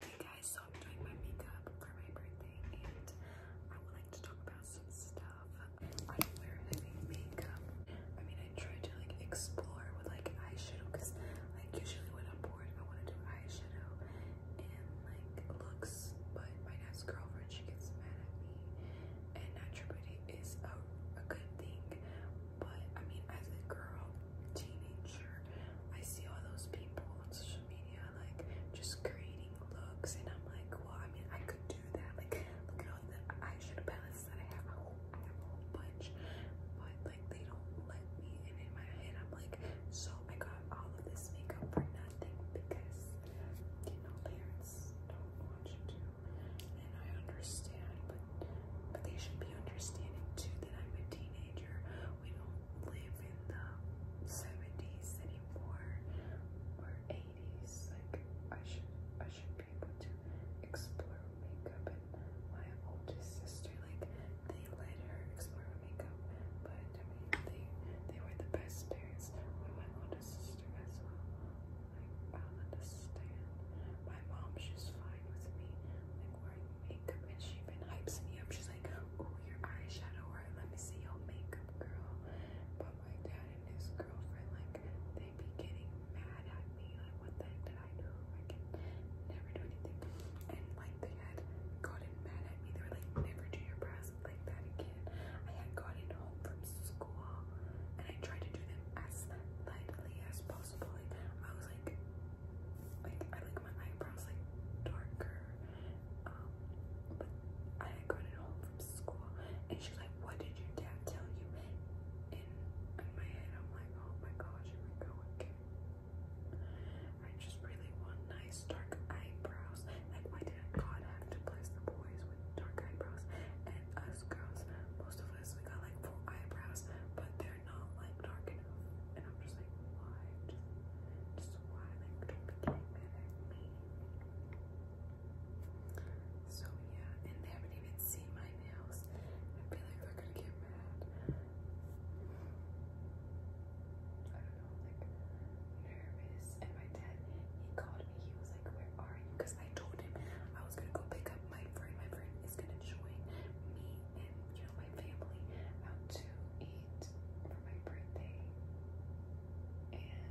Hey guys, so I'm doing my makeup for my birthday and I would like to talk about some stuff. I don't wear heavy makeup. I mean, I try to like explore with like eyeshadow because like usually when I'm bored, I want to do eyeshadow and like looks. But my next girlfriend, she gets mad at me and natural beauty is a, a good thing. But I mean, as a girl, teenager, I see all those people on social media like just creating looks, and I'm like, well, I mean, I could do that. Like, look at all the eyeshadow palettes that I have. I, whole, I have a whole bunch, but like they don't let me. And in my head, I'm like, so I got all of this makeup for nothing because you know parents don't want you to. And I understand, but but they should be understanding too that I'm a teenager. We don't live in the 70s anymore or 80s. Like I should I should be able to explore makeup and my oldest sister, like they let her explore makeup, but I mean they they were the best parents with my oldest sister as well. Like I don't understand. My mom she's fine with me like wearing makeup and she even hypes me up. She's like, oh, your eyeshadow, let me see your makeup, girl. But my dad and his girlfriend, like, they be getting mad at me. Like, what the heck did I do? I never do anything. And, like, they had gotten mad at me. They were like, never do your brows like that again. I had gotten home from school, and I tried to do them as lightly as possible. Like, I was like, like I like my eyebrows like darker. Um, but I had gotten home from school and she's like, What did your dad tell you? And in my head I'm like, Oh my gosh, here we go I just really want nice dark eyebrows. Like why did God have to bless the boys with dark eyebrows? And us girls, most of us we got like full eyebrows, but they're not like dark and I'm just like, why? Just, why? Like, don't be getting mad So yeah, and they haven't even seen my nails. I feel like they're gonna get mad. I don't know, like nervous. And my dad, he called me. He was like, "Where are you?" Because I told him I was gonna go pick up my friend. My friend is gonna join me and you know my family out to eat for my birthday. And um, yeah,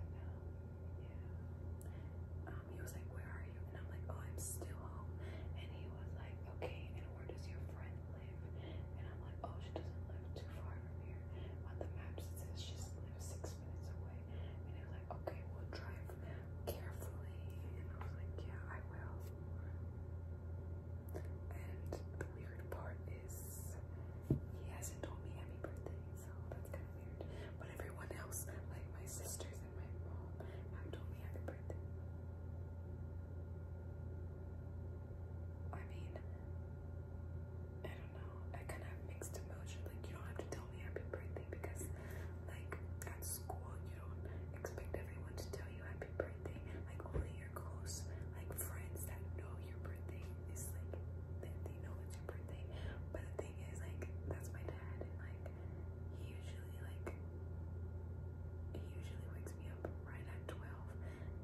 um, he was like, "Where are you?" And I'm like, "Oh, I'm still home." And he was like, "Okay, and where does your friend live?" And I'm like, "Oh, she doesn't live too far from here. On the map it says she's live six minutes away." And I'm like, "Okay, we'll drive carefully." And I was like, "Yeah, I will." And the weird part he hasn't told me happy birthday, so that's kind of weird. But everyone else, like my sisters and my mom, have told me happy birthday. I mean, I don't know. I kind of mixed emotion. Like you don't have to tell me happy birthday because, like at school, you don't expect everyone to tell tell you happy birthday. Like only your close like friends that know your birthday is like that they know it's your birthday. But the thing is like that's my dad and like he usually like he usually wakes me up right at twelve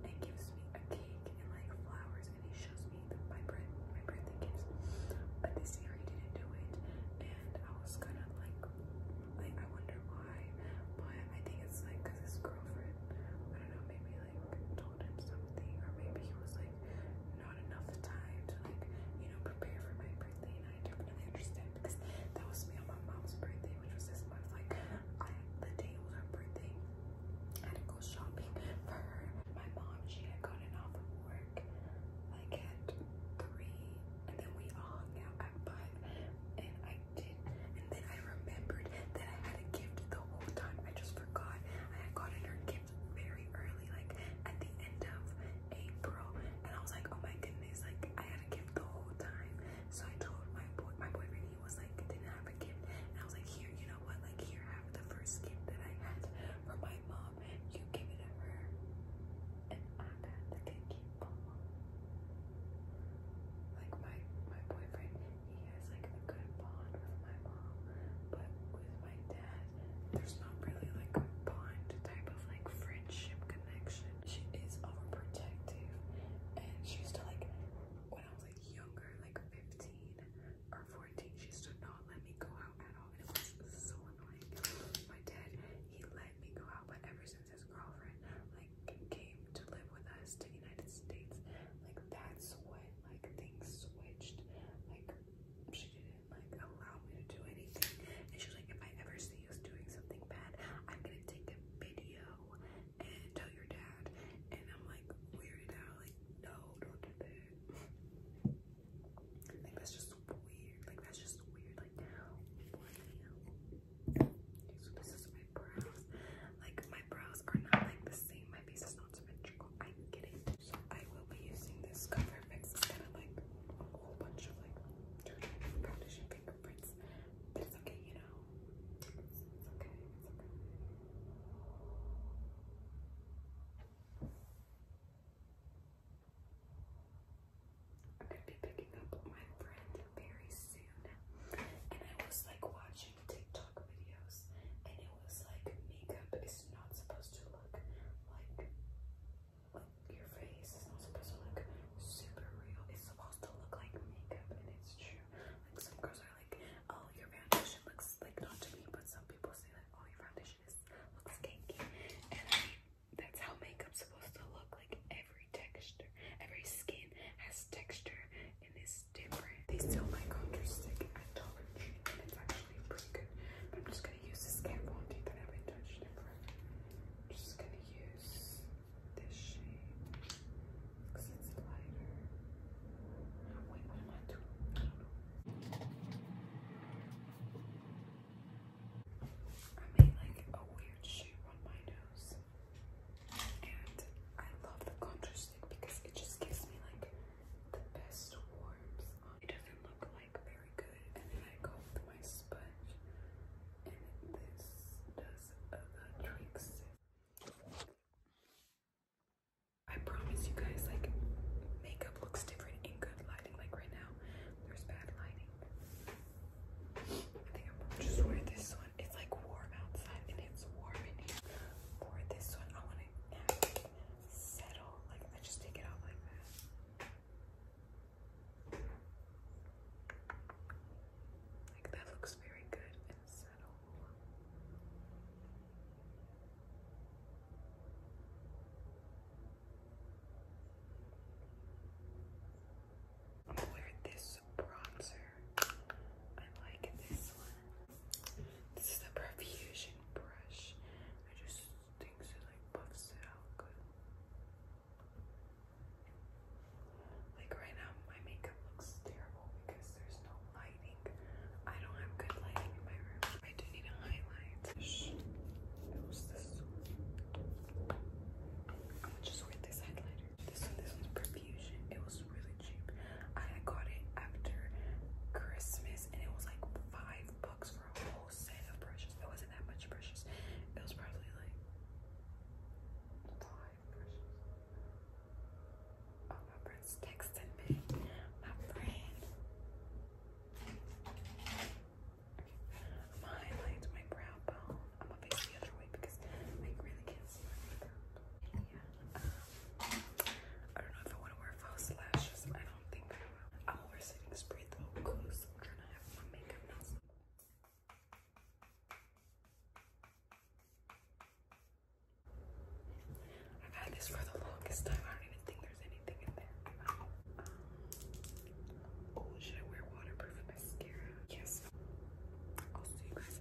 and gives me a cake and like flowers and he shows me the, my birth my birthday gifts. But this year he didn't do it and I was kind of like like I wonder but I think it's like because his girlfriend, I don't know, maybe like told him something, or maybe he was like not enough time to like you know prepare for my birthday, and definitely understand because that was me on my mom's birthday, which was this month. Like I, the day was her birthday, I had to go shopping for her. My mom, she had gotten off of work like at three, and then we all hung out at five, and I I And then I remembered that I had a gift the whole time. I just forgot. I had gotten her gift very early, like at the end of April. And I was like, oh my goodness, like I had a gift the whole time. So I told my boy my boyfriend he was like didn't have a gift. And I was like, here, you know what? Like here have the first gift that I had from my mom. You give it to her. And I got the cake. Like my my boyfriend he has like a good bond with my mom, but with my dad, there's not really like a bond type of like friendship connection. She is overprotective, and she used to like when I was like younger, like 15 or 14, she used to not let me go out at all. It was so annoying. My dad, he let me go out, but ever since his girlfriend, like came to live with us to the United States, like that's when like things switched. Like she didn't like allow me to do anything, and she's like, if I ever see you doing something bad, I'm gonna take a video and tell your dad. And I'm like weirded out, like no, don't do that. Like that's just weird. Like that's just weird. Like so this is my brows. Like my brows are not like the same. My face is not symmetrical. I get it. So I will be using this cover mix. It's kind of like a whole bunch of like foundation fingerprints. But it's okay, you know. okay. It's okay. I'm be picking up my friend very soon. And I was like watching TikTok videos, and it was like makeup is not supposed to look like your face is not supposed to look super real. It's supposed to look like makeup, and it's true. Like some girls are like, oh, your foundation looks like not to me, but some people say like, oh, your foundation is looks cakey. And I mean, that's how makeup's supposed to look. Like every texture, every skin has texture and this different. They sell my counter stick at Dollar Tree and it's actually pretty good. I'm just gonna use this camphor tea that haven't touched in just gonna use this shade because it's lighter. Oh, what am I doing? I made like a weird shape on my nose. And I love the contrast because it just gives me like the best warmth. It doesn't look like very good, and then I go with my sponge, and this does a the tricks. I promise you guys, like, makeup looks different in good lighting. Like right now, there's bad lighting. I think I'm just wear this one it's like warm outside and it's warm in here. For this one, I want it settle. Like I just take it out like that. Like that looks very good and settle. I'm going this some bronzer. I like this one. This is the Profusion brush. I just think it like buffs it out good. Like right now, my makeup looks terrible because there's no lighting. I don't have good lighting in my room. I do need a highlight. I'm just wear this highlighter. This one, this one's Profusion. It was really cheap. I got it after Christmas and it was like five bucks for a whole set of brushes. It wasn't that much brushes. It was probably like five brushes. Oh, my friend's texting me. My friend. My highlights, my brow bone. I'm gonna face the other way because I really can't see my makeup. I don't know if I want to wear false lashes. I don't think I will. I'm over setting spray though because I'm trying to have my makeup now. I've this for the longest time. I don't even think there's anything in there. Um, oh, should I wear waterproof mascara? Yes. I'll see you guys.